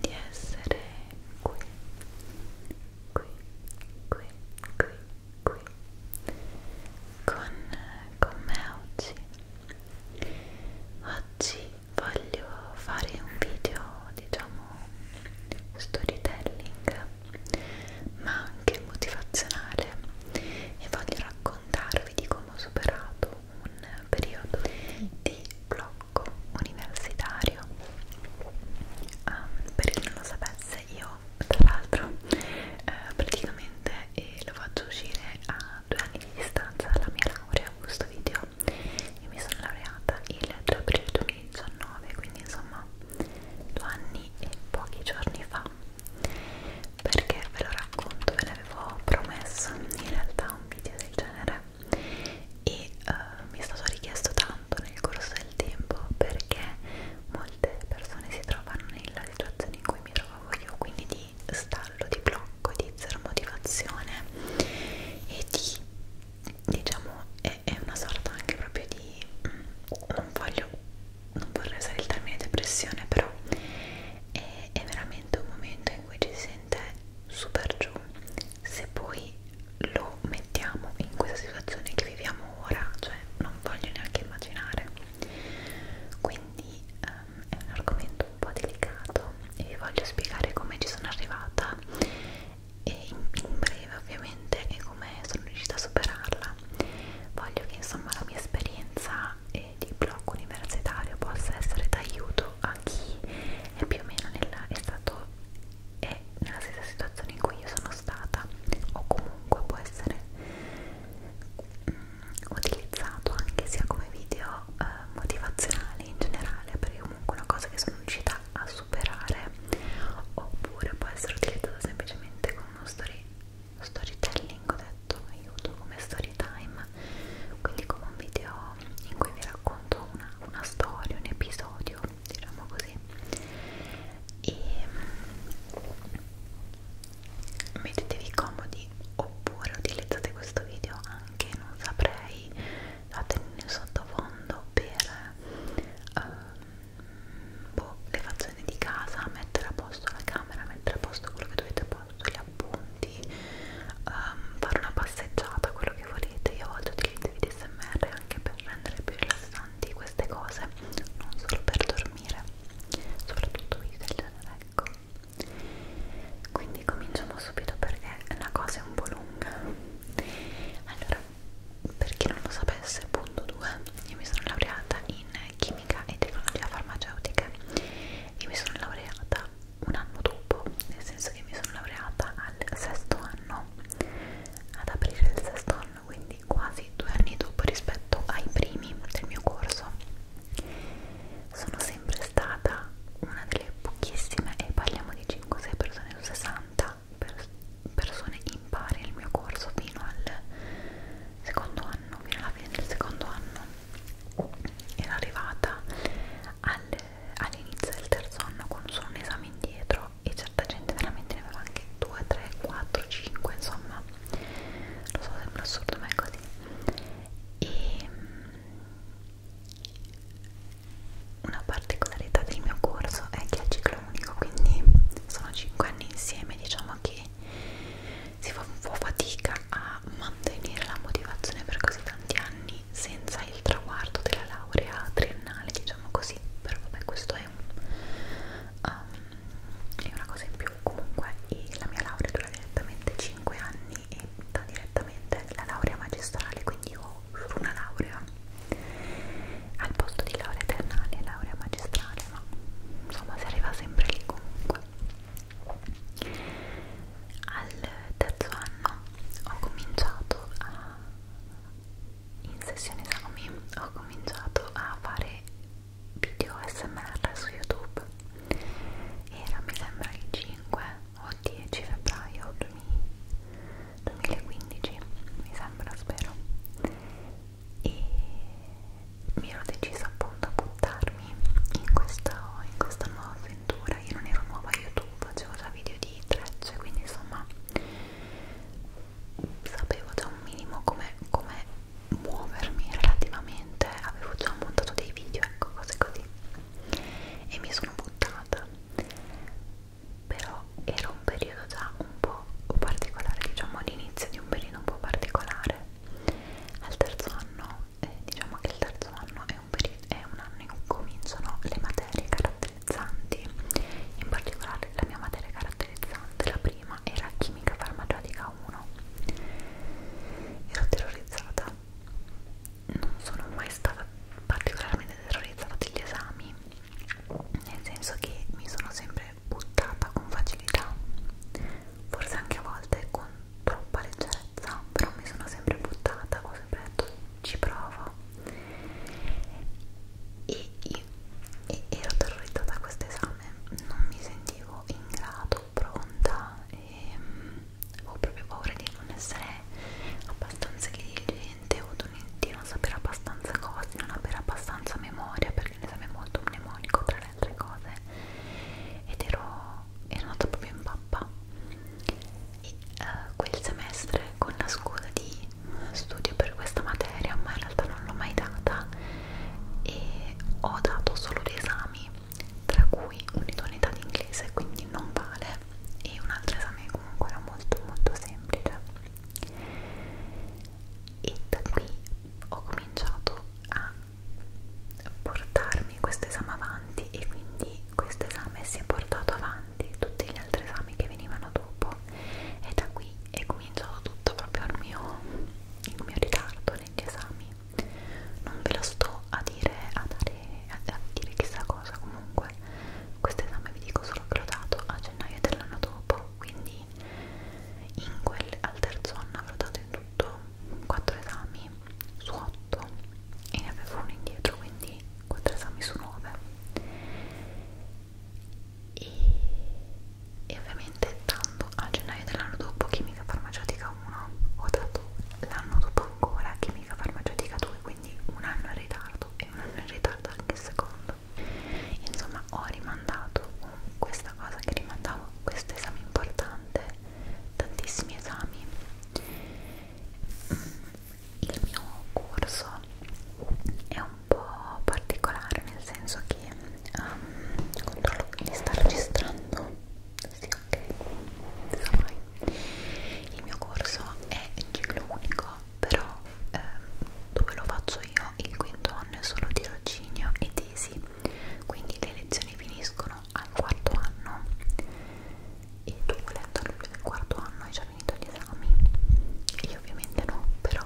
di essere qui, qui, qui, qui, qui con, con me oggi. Oggi voglio fare un video, diciamo, storytelling, ma anche motivazionale e voglio raccontarvi di come ho superato un periodo di blocco blocco universitario um, per chi non lo sapesse io tra l'altro eh, praticamente eh, lo faccio uscire a due anni di distanza dalla mia laurea questo video io mi sono laureata il 3 aprile 2019 quindi insomma due anni e pochi giorni fa perché ve lo racconto ve l'avevo promesso in realtà un video del genere e uh, mi è stato richiesto tanto nel corso del tempo perché molte persone si trovano nella situazione in cui mi trovavo io quindi di stallo, di blocco, di zero motivazione e di diciamo è, è una sorta anche proprio di mh, mm, non voglio non vorrei usare il termine depressione però è, è veramente un momento in cui ci si sente super giù se poi lo mettiamo in questa situazione che viviamo ora, cioè non voglio neanche immaginare. Quindi um, è un argomento un po' delicato e vi voglio spiegare come ci sono arrivata e in, in breve ovviamente e come sono riuscita a superarla. Voglio che insomma la mia esperienza e di blocco universitario possa essere d'aiuto aiuto a chi è più o meno nella, è stato è nella stessa situazione in cui io sono stata o comunque può essere mh, mm, utilizzato anche sia come video eh, motivazionale in generale perché comunque una cosa che sono riuscita a superare oppure può essere utilizzato semplicemente come uno story, storytelling ho detto aiuto come story time quindi come un video in cui vi racconto una, una storia, un episodio, diciamo così e mm, mettetevi comodi oppure utilizzate questo video anche, non saprei, fatelo in sottofondo per ehm, boh, le faccende di casa, mettere a posto la camera, mettere a posto quello che dovete a posto, gli appunti, um, ehm, fare una passeggiata, quello che volete. Io a volte utilizzo i DSMR anche per rendere più rilassanti queste cose, non solo per dormire, soprattutto video del genere, ecco. Quindi cominciamo subito perché la cosa è un po' lunga. Allora, per chi non lo sapesse, punto 2, io mi sono laureata in chimica e tecnologia farmaceutica e mi sono laureata un anno dopo, nel senso che mi sono laureata al sesto anno, ad aprire il sesto anno, quindi quasi due anni dopo rispetto ai primi del mio corso. Sono sempre stata una delle pochissime, e parliamo di 5-6 persone su 60 per persone impari nel mio corso fino al secondo anno, fino alla fine del secondo anno. Era arrivata al all'inizio del terzo anno con solo un esame indietro e certa gente veramente ne aveva anche 2, 3, 4, 5 insomma lo so sembra assurdo ma è così e mm, una particolarità del mio corso è che è ciclo unico quindi sono 5 anni insieme diciamo che si fa un po' fatica a mantenere la motivazione per così tanti anni anni senza il traguardo della laurea triennale, diciamo così, però vabbè questo è, un, um, è una cosa in più, comunque la mia laurea dura direttamente 5 anni e da direttamente la laurea magistrale, quindi io ho una laurea al posto di laurea triennale, laurea magistrale, ma insomma si arriva sempre lì comunque al terzo anno ho cominciato a, in sessione esami, ho cominciato a fare video SMR su YouTube. Era mi sembra il 5 o 10 febbraio 2015, mi sembra, spero. E mi ero decisa appunto a buttarmi in questa, in questa nuova avventura io non ero nuova a youtube facevo già video di trecce quindi insomma sapevo già un minimo come com muovermi relativamente avevo già montato dei video ecco cose così e mi sono buttata però era un periodo già un po' particolare diciamo all'inizio di un periodo un po' particolare al terzo anno eh, diciamo che il terzo anno è è un, periodo, è un anno in cui cominciano le materie caratterizzanti, in particolare la mia materia caratterizzante, la prima, era chimica farmaceutica 1. Ero terrorizzata, non sono mai stata particolarmente terrorizzata degli esami, nel senso che mi sono sempre buttata con facilità, forse anche a volte con troppa leggerezza però mi sono sempre buttata ho sempre detto ci provo e, io, e ero terrorizzata a questo esame non mi sentivo in grado pronta e ehm, avevo proprio paura di non essere abbastanza diligente o di non sapere abbastanza cose di non avere abbastanza memoria perché l'esame è molto mnemonico tra le altre cose ed ero, ero andata proprio in pappa e, uh, quel semestre con la scusa di studio per questa materia ma in realtà non l'ho mai data e ho dato solo due esami tra cui un'idoneità di inglese quindi non vale e un altro esame comunque era molto molto semplice e da qui ho cominciato a portarmi questo esame avanti e quindi questo esame si è portato avanti tutti gli altri esami che venivano dopo e da qui è cominciato tutto proprio il mio, il mio ritardo negli esami non ve lo sto a dire a, dare, a, a dire chissà cosa comunque questo esame vi dico solo che l'ho dato a gennaio dell'anno dopo quindi in quel, al terzo anno avrò dato in tutto 4 esami su 8 e ne avevo uno indietro quindi 4 esami su 9 e, e ovviamente tanto a gennaio dell'anno dopo chimica farmaceutica 1 ho dato l'anno dopo ancora chimica farmaceutica 2 quindi un anno in ritardo e un anno in ritardo anche il secondo insomma ho rimandato questa cosa che rimandavo questo esame importante tantissimi esami il mio corso è un po' particolare nel senso che um, controllo che mi sta registrando sì ok Sorry. il mio corso è ciclo unico però eh, dove lo faccio io il quinto anno è solo tirocinio e tesi quindi le lezioni finiscono al quarto anno e tu volendo almeno nel quarto anno hai già finito gli esami io ovviamente no però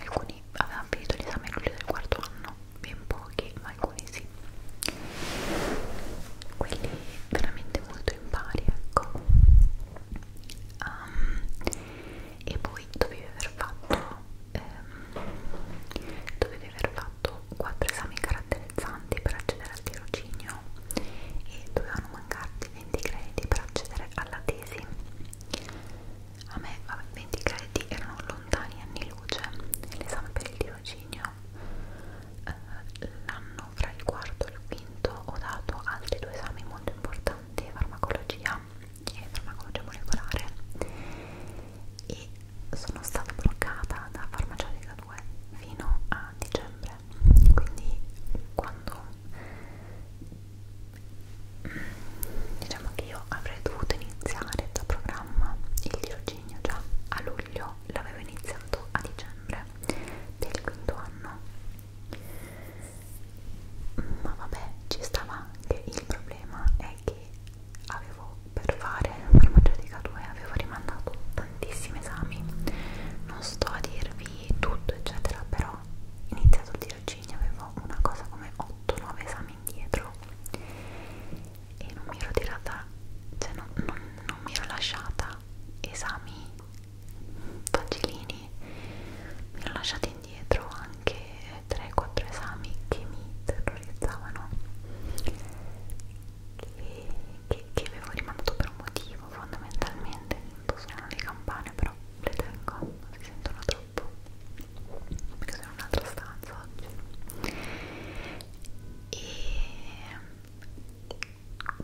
alcuni avevano finito gli esami quelli del quarto anno ben pochi ma alcuni sì quelli veramente molto impari ecco um, e poi dovevi aver fatto ehm, dovevi aver fatto fatto quattro esami caratterizzanti per accedere al tirocinio e dovevano mancarti 20 crediti per accedere alla tesi. A me vabbè, 20 crediti erano lontani anni luce, l'esame per il tirocinio eh, l'anno fra il quarto e il quinto ho dato altri due esami molto importanti, farmacologia e farmacologia molecolare e sono stata bloccata da farmaceutica 2022 fino a dicembre quindi quando mm, diciamo che io avrei dovuto iniziare da programma il tirocinio già a luglio l'avevo iniziato a dicembre del quinto anno ma vabbè ci stava anche il problema è che avevo per fare farmaceutica 2 avevo rimandato tantissimi esami non sto a dirvi tutto eccetera però iniziato il tirocinio avevo una cosa come 8-9 esami indietro e non mi ero tirata cioè non, non, non mi ero lasciata esami facilini mi ero lasciata indietro anche 3-4 esami che mi terrorizzavano che, che avevo rimandato per un motivo fondamentalmente non suonano le campane però le tengo, si sentono troppo perché sono in un'altra stanza oggi e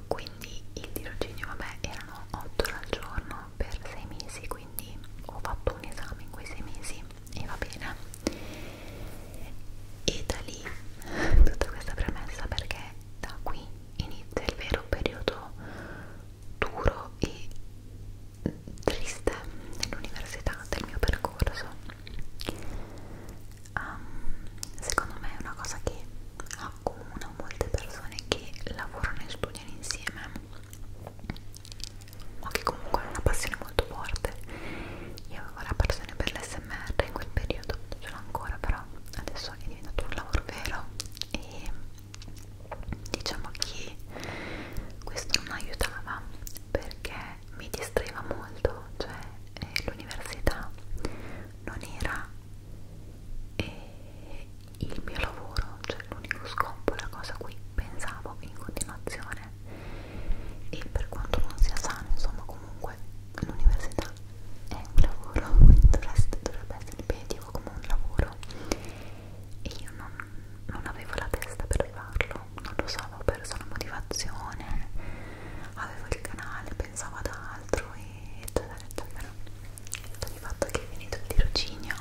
quindi il tirocinio vabbè erano 8 ore al giorno per 6 mesi quindi ho fatto un esame in quei 6 mesi e va bene e da lì tutta questa premessa perché da qui inizia il vero periodo duro e triste dell'università, del mio percorso um, secondo me è una cosa che accomuna molte persone che lavorano e studiano insieme o che comunque hanno una passione molto molto forte io avevo la passione per l'SMR in quel periodo ce l'ho ancora però adesso è diventato un lavoro vero e diciamo che questo non aiutava perché mi distraeva molto cioè eh, l'università non era eh, il mio lavoro cioè l'unico scopo la cosa a cui pensavo in continuazione e per quanto non sia sano insomma comunque l'università è un lavoro quindi dovreste, dovrebbe essere impegnativo come un lavoro e io non, non avevo la testa per farlo non lo so, avevo perso la motivazione avevo il canale, pensavo ad altro e eccetera eccetera il fatto che è finito il tirocinio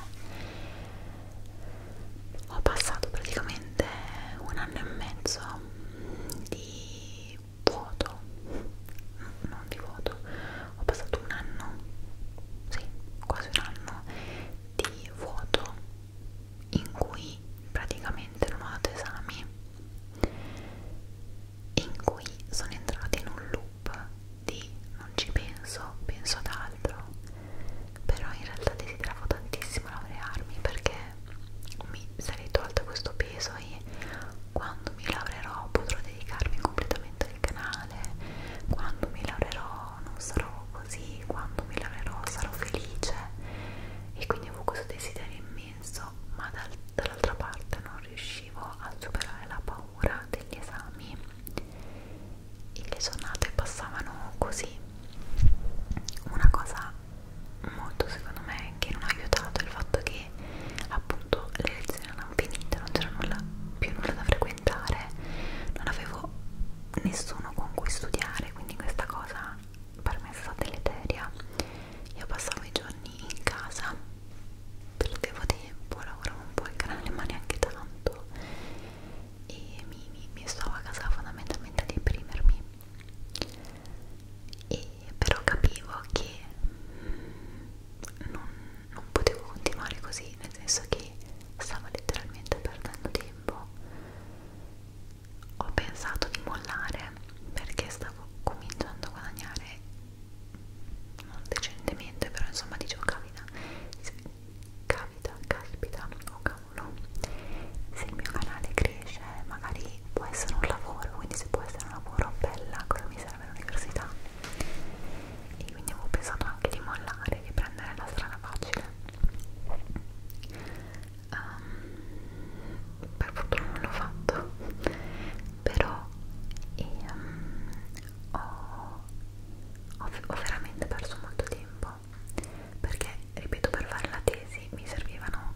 ho passato praticamente un anno e mezzo di di vuoto non di vuoto ho passato un anno sì quasi un anno di vuoto in cui praticamente non ho dato esami in cui sono entrata in un loop di non ci penso penso ad altro però in realtà desideravo tantissimo laurearmi perché mi sarei tolta questo peso e quando mi laurerò potrò dedicarmi completamente al canale, quando mi laurerò non sarò così, quando mi laurerò sarò felice e quindi avevo questo desiderio immenso, ma dal, dall'altra parte non riuscivo a superare la paura degli esami e le giornate passavano così. Una cosa molto secondo me che non ha aiutato il fatto che appunto le lezioni erano finite, non c'era nulla, più nulla da frequentare, non avevo nessuno con cui studiare, quindi questa cosa per me è stata deleteria. Io passavo i giorni in casa, perdevo tempo, lavoravo un po' al canale ma neanche tanto e mi, mi, mi stavo a casa fondamentalmente a deprimermi e però capivo che non, non potevo continuare così, nel senso che stavo letteralmente perdendo tempo. Ho pensato di mollare perché stavo cominciando a guadagnare non decentemente, però insomma dicevo cavita, cavita, caspita, oh, tavolo se il mio canale cresce magari può essere un lavoro quindi se può essere un lavoro bella cosa mi serve l'università e quindi avevo pensato anche di mollare di prendere la strada facile um, per fortuna non l'ho fatto però e, um, ho, ho, ho veramente perso molto tempo no perché ripeto per fare la tesi mi servivano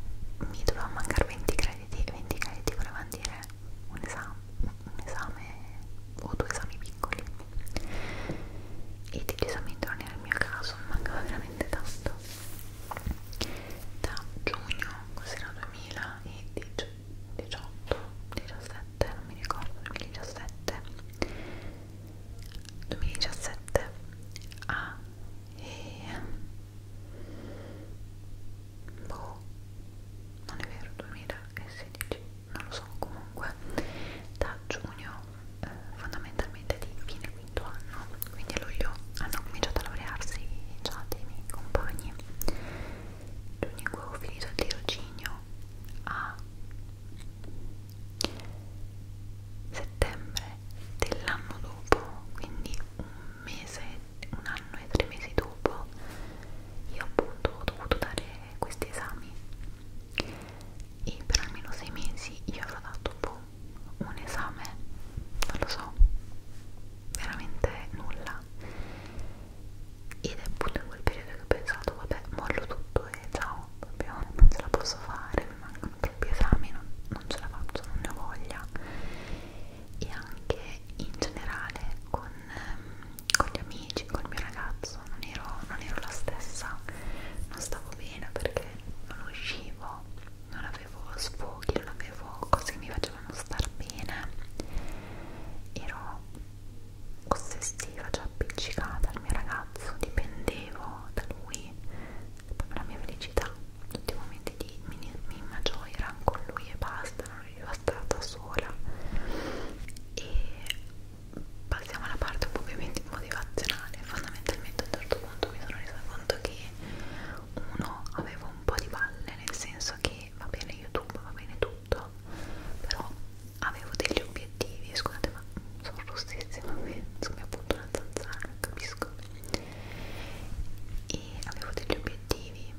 mi dovevano mancare 20 crediti e 20 crediti volevano dire un esame, un esame o due esami piccoli e decisamente non era il mio caso mancava veramente tanto da giugno cos'era 2018 17 non mi ricordo 2017 2017 a e... boh non è vero 2016 non lo so comunque da giugno eh, fondamentalmente di fine quinto anno quindi a luglio hanno cominciato a laurearsi già dei miei compagni giugno in cui ho finito il tirocinio a settembre dell'anno dopo, quindi un mese, un anno e tre mesi dopo, io appunto ho dovuto dare questi esami e per almeno sei mesi io avrò dato boh, un esame, non lo so, veramente nulla ed è appunto in quel periodo che ho pensato vabbè mollo tutto e ciao, proprio non ce la posso fare, mi mancano troppi esami non, non ce la faccio, non ne ho voglia e anche in generale con, ehm, con gli amici, col mio ragazzo non ero, non ero la stessa non stavo bene perché non uscivo non avevo sfoghi, non avevo cose che mi facevano star bene ero ossessiva, cioè appiccicata al mio ragazzo, dipendevo da lui poi per la mia felicità tutti i momenti di minima gioia erano con lui e basta non ero stata sola e passiamo alla parte un po' più motivazionale fondamentalmente a un certo punto mi sono resa conto che uno avevo un po' di palle nel senso che va bene youtube va bene tutto però avevo degli obiettivi scusate ma sono rossissima mi appunto una zanzara non capisco e avevo degli obiettivi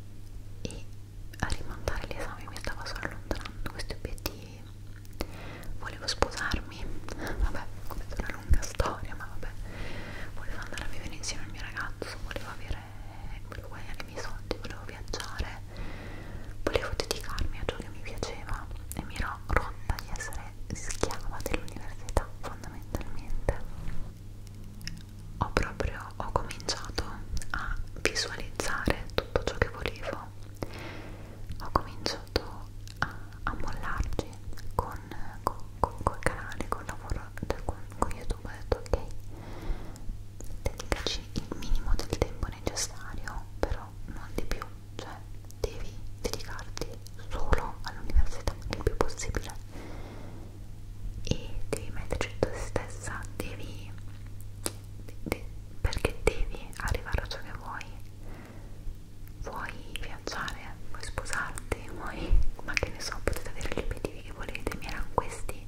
e a rimandare l'esame mi stava solo allontanando questi obiettivi volevo sposarmi vabbè questa è una lunga storia ma vabbè volevo andare a vivere insieme al mio ragazzo volevo avere volevo guadagnare i miei soldi volevo viaggiare volevo dedicarmi a ciò che mi piaceva e mi ero rotta di essere schiava dell'università fondamentalmente ho proprio ho cominciato a visualizzare tutto ciò che volevo ho cominciato a, a mollarci con, con, con, col canale, col lavoro cioè con, con youtube ho detto ok dedicaci il minimo del tempo necessario però non di più cioè devi dedicarti solo all'università il più possibile e devi metterci te stessa devi de, perché devi arrivare a ciò che vuoi vuoi viaggiare vuoi sposarti vuoi ma che ne so potete avere gli obiettivi che volete mi erano questi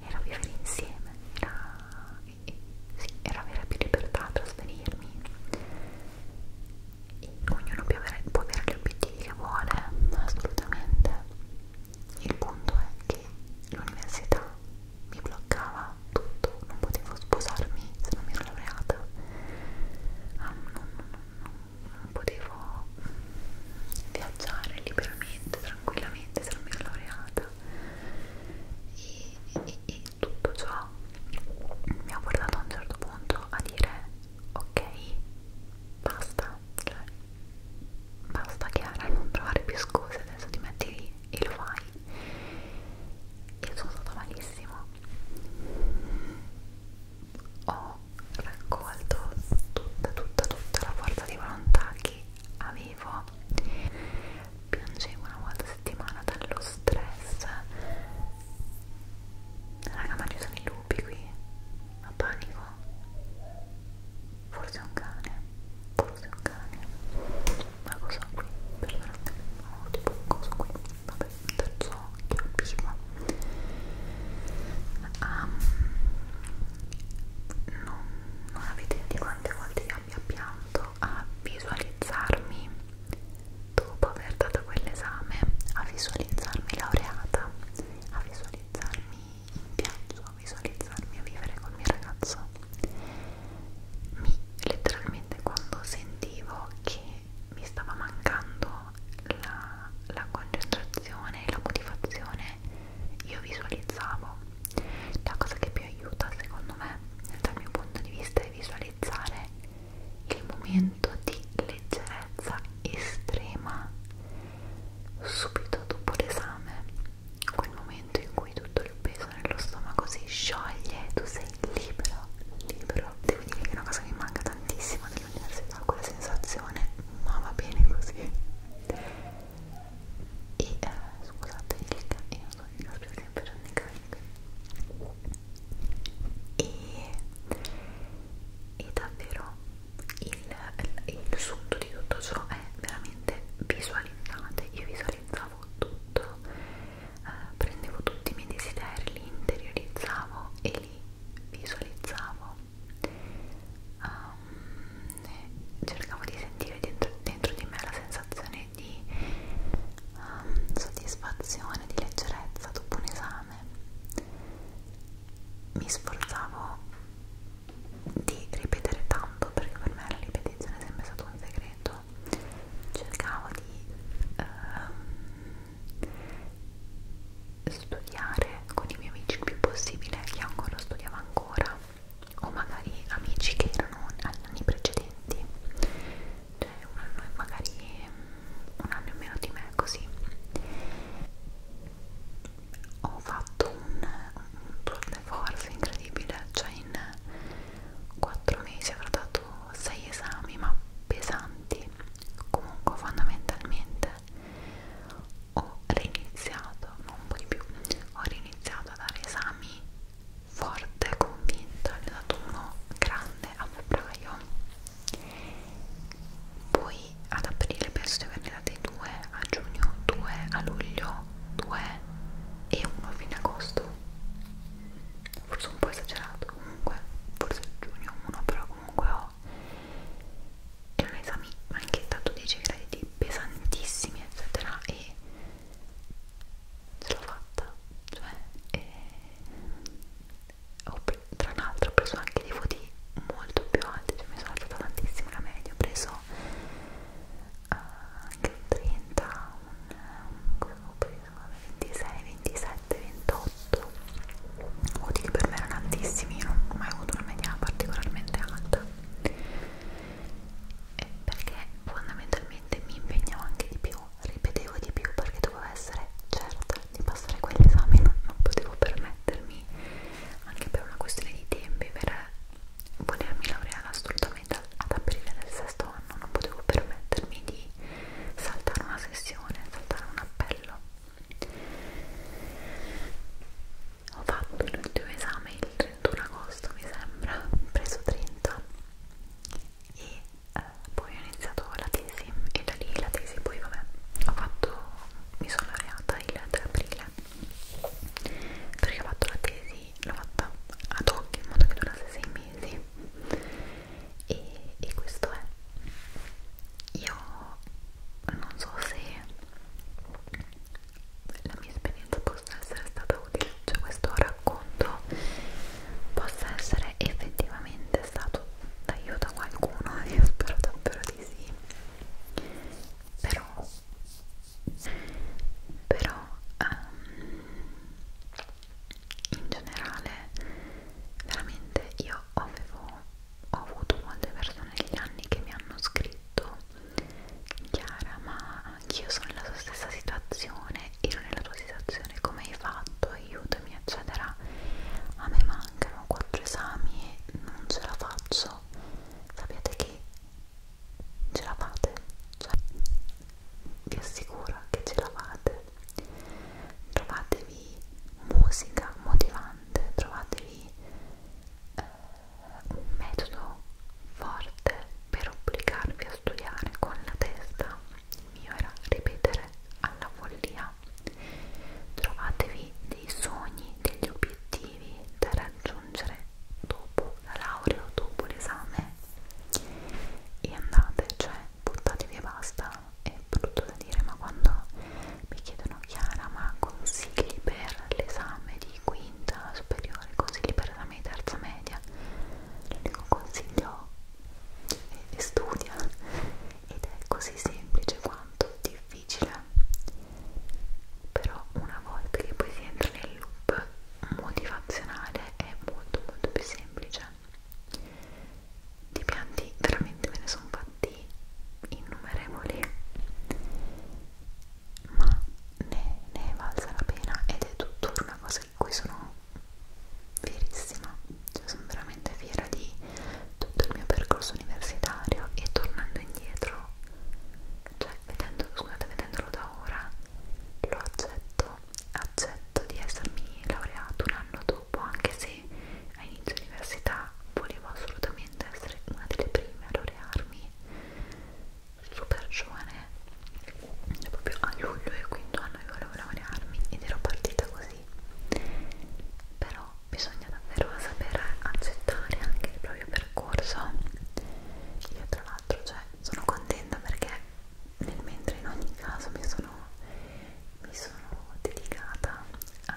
era vivere insieme era sì, era avere più libertà trasferirmi ognuno può avere, può avere gli obiettivi che vuole, assolutamente. Il punto è che l'università mi bloccava tutto, non potevo sposarmi se non mi ero laureata, um, ah, non, non, non, non potevo viaggiare liberamente, tranquillamente se non mi ero laureata. E, e, e, tutto ciò mi ha portato a un certo punto a dire ok, basta, cioè basta Chiara, non trovare più scuse, adesso ti metti lì e lo fai. Io sono stata malissimo. Ho raccolto tutta, tutta, tutta la forza di volontà che avevo piangevo una volta a settimana dallo stress raga ma ci sono i lupi qui ma panico forse un cane forse un cane ma cosa qui? perdonate ho oh, tipo un coso qui vabbè un terzo occhio vivo um, ehm, non, non avete idea di quante volte io abbia pianto a visualizzarmi dopo aver dato quell'esame a visualizzarmi laureata, a visualizzarmi in viaggio, a visualizzarmi a vivere col mio ragazzo, mi letteralmente quando sentivo che mi stava mancando la, la concentrazione e la motivazione, io visualizzavo. La cosa che più aiuta secondo me dal mio punto di vista è visualizzare il momento di leggerezza estrema subito dopo l'esame, quel momento in cui tutto il peso nello stomaco si scioglie e tu sei libero, libero. Devo dire che è una cosa che mi manca tantissimo dell'università, quella sensazione, ma va bene così. E eh, scusate il, io eh, non so il per ogni carica e, e davvero il, il, il sunto di tutto ciò è veramente visualizzate io visualizzavo tutto eh, prendevo tutti i miei desideri li interiorizzavo e li visualizzavo um, cercavo di sentire dentro, dentro di me la sensazione di um, soddisfazione, di leggerezza dopo un esame mi sforzavo di ripetere tanto perché per me la ripetizione è sempre stato un segreto cercavo di um, studiare con i miei amici il più possibile chi ancora studiava ancora o magari amici che erano negli anni precedenti cioè un anno e magari mm, un anno e meno di me così ho fatto un, un tour de force incredibile cioè in 4 mesi avrò dato 6 esami ma pesanti comunque fondamentalmente ho reiniziato non un po' di più ho reiniziato a dare esami forte, convinta, ne ho dato uno grande a febbraio poi ad aprile penso di averne dati due a giugno, due a luglio, due e uno a fine agosto forse un po' esagerato comunque, forse a giugno uno però comunque ho e non esami anche dato 10 crediti pesantissimi eccetera e ce l'ho fatta cioè e... Eh, ho tra l'altro ho preso anche dei voti molto più alti cioè mi sono alzata tantissimo la media ho preso uh, anche un 30 un, un, ho preso 26 27 28 voti che per me erano altissimi io non ho mai avuto una media particolarmente alta eh, perché fondamentalmente mi impegnavo anche di più ripetevo di più perché dovevo essere certa di passare quell'esame, non, non potevo permettermi anche per una questione di tempi, per volermi laureare assolutamente ad aprile del sesto anno, non potevo permettermi di saltare una sessione, saltare un appello. Ho fatto l'ultimo esame il 31 agosto, mi sembra, ho preso 30 e eh, poi ho iniziato la tesi e da lì la tesi poi vabbè ho fatto mi sono laureata il 3 aprile perché ho fatto la tesi l'ho fatta ad hoc in modo che durasse 6 mesi e, e questo è io non so se la mia esperienza possa essere stata utile, cioè questo racconto possa essere effettivamente stato d'aiuto a qualcuno, io spero davvero di sì, però, però um, in generale veramente io avevo ho avuto molte persone negli anni che mi hanno scritto Chiara ma anch'io sono nella sua stessa situazione, ero nella tua situazione, come hai fatto, aiutami, eccetera. A me mancano quattro esami e non ce la faccio. Sapete che ce la fate, cioè, vi assicuro che ce la fate. Trovatevi musica motivante, trovatevi eh, un metodo forte per obbligarvi a studiare con la testa il mio era ripetere alla follia trovatevi dei sogni degli obiettivi da raggiungere dopo la laurea o dopo l'esame e andate cioè buttatevi e basta è brutto da dire ma quando mi chiedono Chiara ma consigli per l'esame di quinta superiore consigli per l'esame di terza media l'unico consiglio è studia ed è così semplice quanto difficile però una volta che poi si entra nel loop motivazionale è molto molto più semplice di pianti veramente me ne sono fatti innumerevoli ma ne, ne è valsa la pena ed è tuttora una cosa di cui sono fierissima, cioè sono veramente fiera di tutto il mio percorso universitario e tornando indietro, cioè vedendo, scusate, vedendolo da ora, lo accetto, accetto di essermi laureato un anno dopo, anche se a inizio università volevo assolutamente essere una delle prime a laurearmi super giovane proprio a luglio del quinto anno io volevo laurearmi ed ero partita così però bisogna davvero sapere accettare anche il proprio percorso io tra l'altro cioè, sono contenta perché nel mentre in ogni caso mi sono, mi sono dedicata a,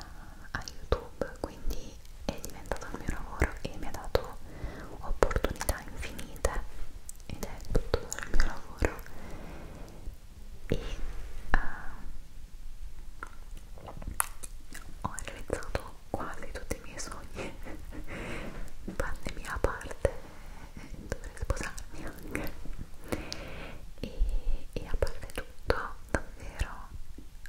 a youtube quindi è diventato il mio lavoro e mi ha dato opportunità infinite ed è tutto il mio lavoro e uh, ho realizzato quasi tutti i miei sogni pandemia a parte dovrei sposarmi anche e, e a parte tutto davvero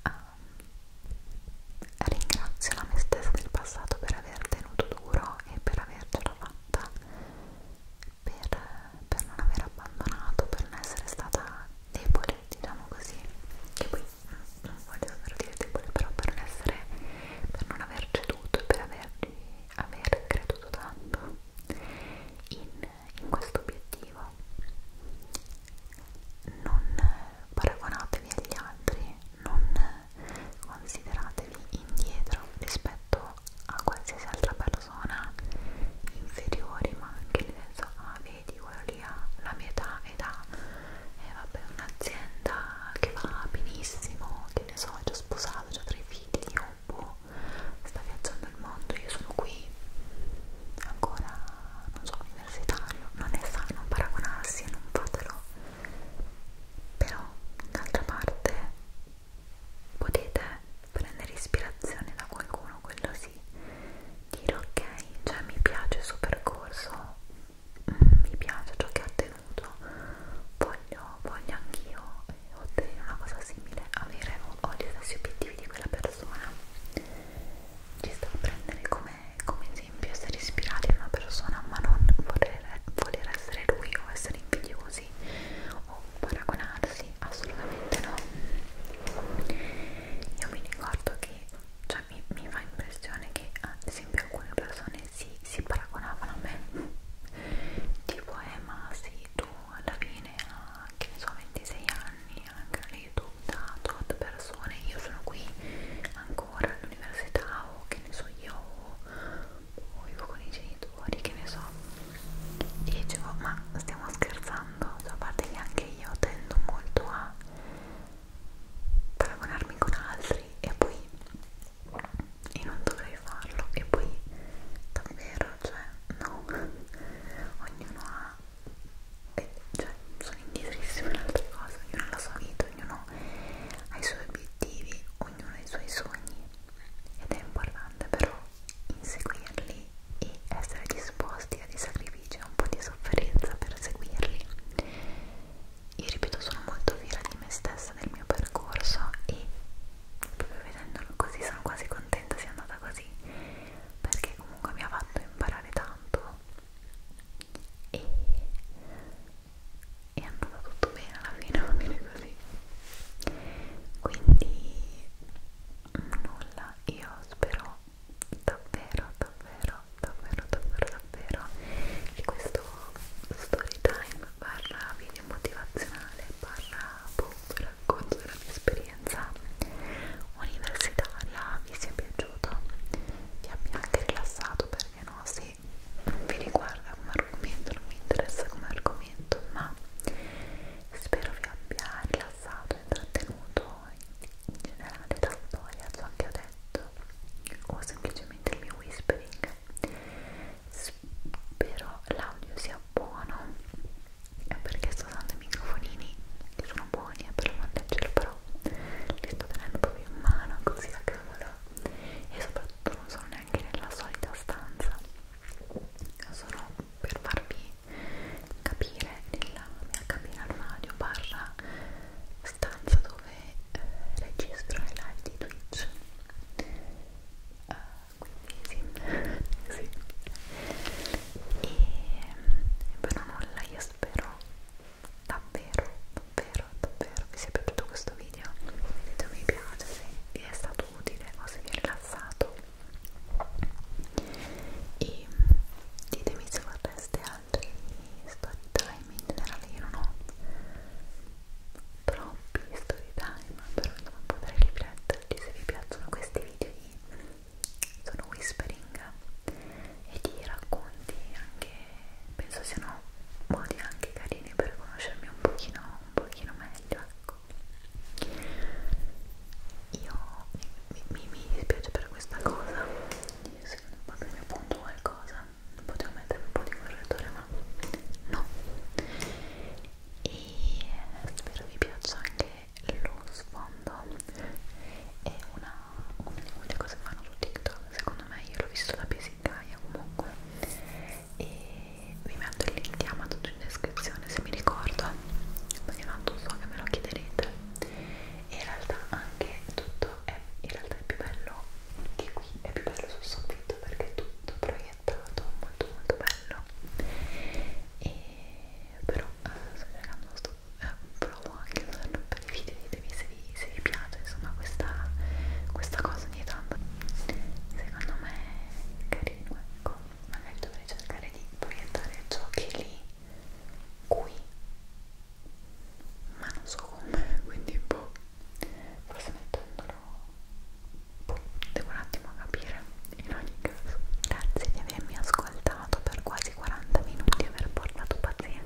um, ringrazio la me stessa del passato per aver aver tenuto duro e per avercela fatta per, per non aver abbandonato per non essere stata debole diciamo così che poi mm, non voglio davvero dire debole però per non essere per non aver ceduto e per averci, aver creduto tanto in, in questo obiettivo non paragonatevi agli altri non consideratevi indietro rispetto a qualsiasi altra persona inferiori ma anche nel senso ah vedi quello lì ha la mia età ed ha eh, vabbè un'azienda che va benissimo che ne so è già sposato, già tre figli o boh sta viaggiando il mondo io sono qui ancora non so universitario non è sano paragonarsi e non fatelo però d'altra parte potete prendere ispirazione da qualcuno, quello sì dire ok, cioè mi piace il suo percorso mm, mi piace ciò che ha ottenuto voglio, voglio anch'io eh, ottenere una cosa simile avere ho gli stessi obiettivi di quella persona ci sta a prendere come, come esempio essere ispirati a una persona ma non voler, voler essere lui o essere invidiosi o paragonarsi, assolutamente no. Io mi ricordo che, cioè mi, mi fa impressione che ad esempio alcune persone si, si paragonavano a me, tipo eh ma se sì, tu alla fine a ah, che ne so 26 anni anche lì tu da tot persone, io sono qui ancora lavora all'università o che ne so io o vivo con i genitori, che ne so e dicevo oh, ma stiamo scherzando, cioè, a parte che anche io tendo molto a paragonarmi con altri e poi e non dovrei farlo e poi davvero cioè no ognuno ha e, cioè sono indietrissime in altre cose ognuno ha la sua vita ognuno ognuno ha i suoi obiettivi, ognuno ha i suoi sogni ed è importante però inseguirli e essere disposti a dei sacrifici e un po' di sofferenza per seguirli. Io ripeto, sono molto fiera di me stessa, del mio percorso e proprio vedendolo così sono quasi contenta sia andata così perché comunque mi ha fatto imparare tanto e, e è andato tutto bene alla fine, va bene così quindi nulla, io spero davvero, davvero, davvero, davvero, davvero che questo story time barra video motivazionale barra boom, racconto della mia esperienza universitaria vi sia piaciuto vi abbia anche rilassato perché no, se che vi riguarda come argomento, non mi interessa come argomento, ma spero vi abbia rilassato, intrattenuto in generale la storia, ciò che ho detto o semplicemente il mio whispering. Spero l'audio sia buono perché sto usando i microfonini che sono buoni e eh, per non leggerlo però li sto tenendo proprio in mano così a cavolo e soprattutto non sono neanche nella solita stanza sono per farvi capire nella mia cabina armadio barra stanza dove eh, registro le live di Twitch uh, quindi sì, sì. e per nulla io spero davvero, davvero, davvero vi sia piaciuto questo video. Se video mi piace, se vi è stato utile o se vi è rilassato. E ditemi se vorreste altri story time in generale. Io non ho troppi story time, però insomma potrei rifletterci se vi piacciono questi video di sono whispering e di racconti anche penso siano modi anche carini per conoscermi un pochino, un pochino meglio ecco io mi, mi, mi dispiace per questa cosa io secondo proprio mi appunto qualcosa potevo mettere un po' di correttore ma no e spero vi piaccia anche lo sfondo è una una di quelle cose che fanno su TikTok, secondo me io l'ho visto da Pesicaia comunque e vi metto il link di Amazon in descrizione se mi ricordo perché tanto so che me lo chiederete e in realtà anche tutto è, in realtà è più bello di qui, è più bello sul soffitto perché è tutto proiettato, molto molto bello e però eh, sto cercando, sto, eh, provo anche a usarlo guardate i video ditemi se vi, se vi piace insomma questa, questa cosa ogni tanto secondo me è carino ecco magari dovrei cercare di proiettare ciò che è lì qui ma non so come quindi boh forse mettendolo boh devo un attimo capire in ogni caso grazie di avermi ascoltato per quasi 40 minuti aver portato pazienza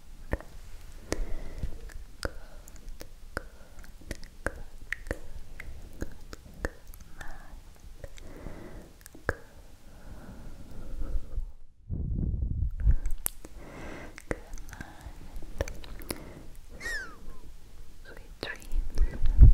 good, good, good, good, good night. Good. Good night. Sweet dreams. Good night, sweet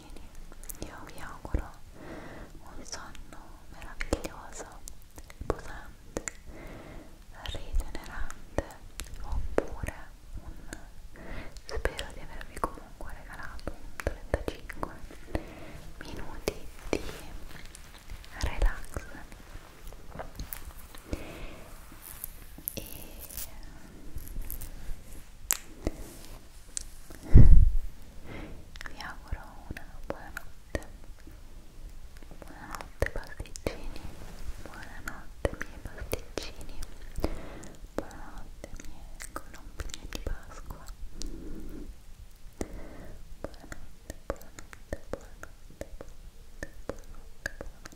cuoricini io vi auguro un sonno meraviglioso riposante rigenerante oppure un spero di avervi comunque regalato un 35 minuti di relax e vi auguro una buonanotte buonanotte pasticcini buonanotte miei pasticcini buonanotte miei colombini di Pasqua buonanotte buonanotte buonanotte buonanotte buonanotte buonanotte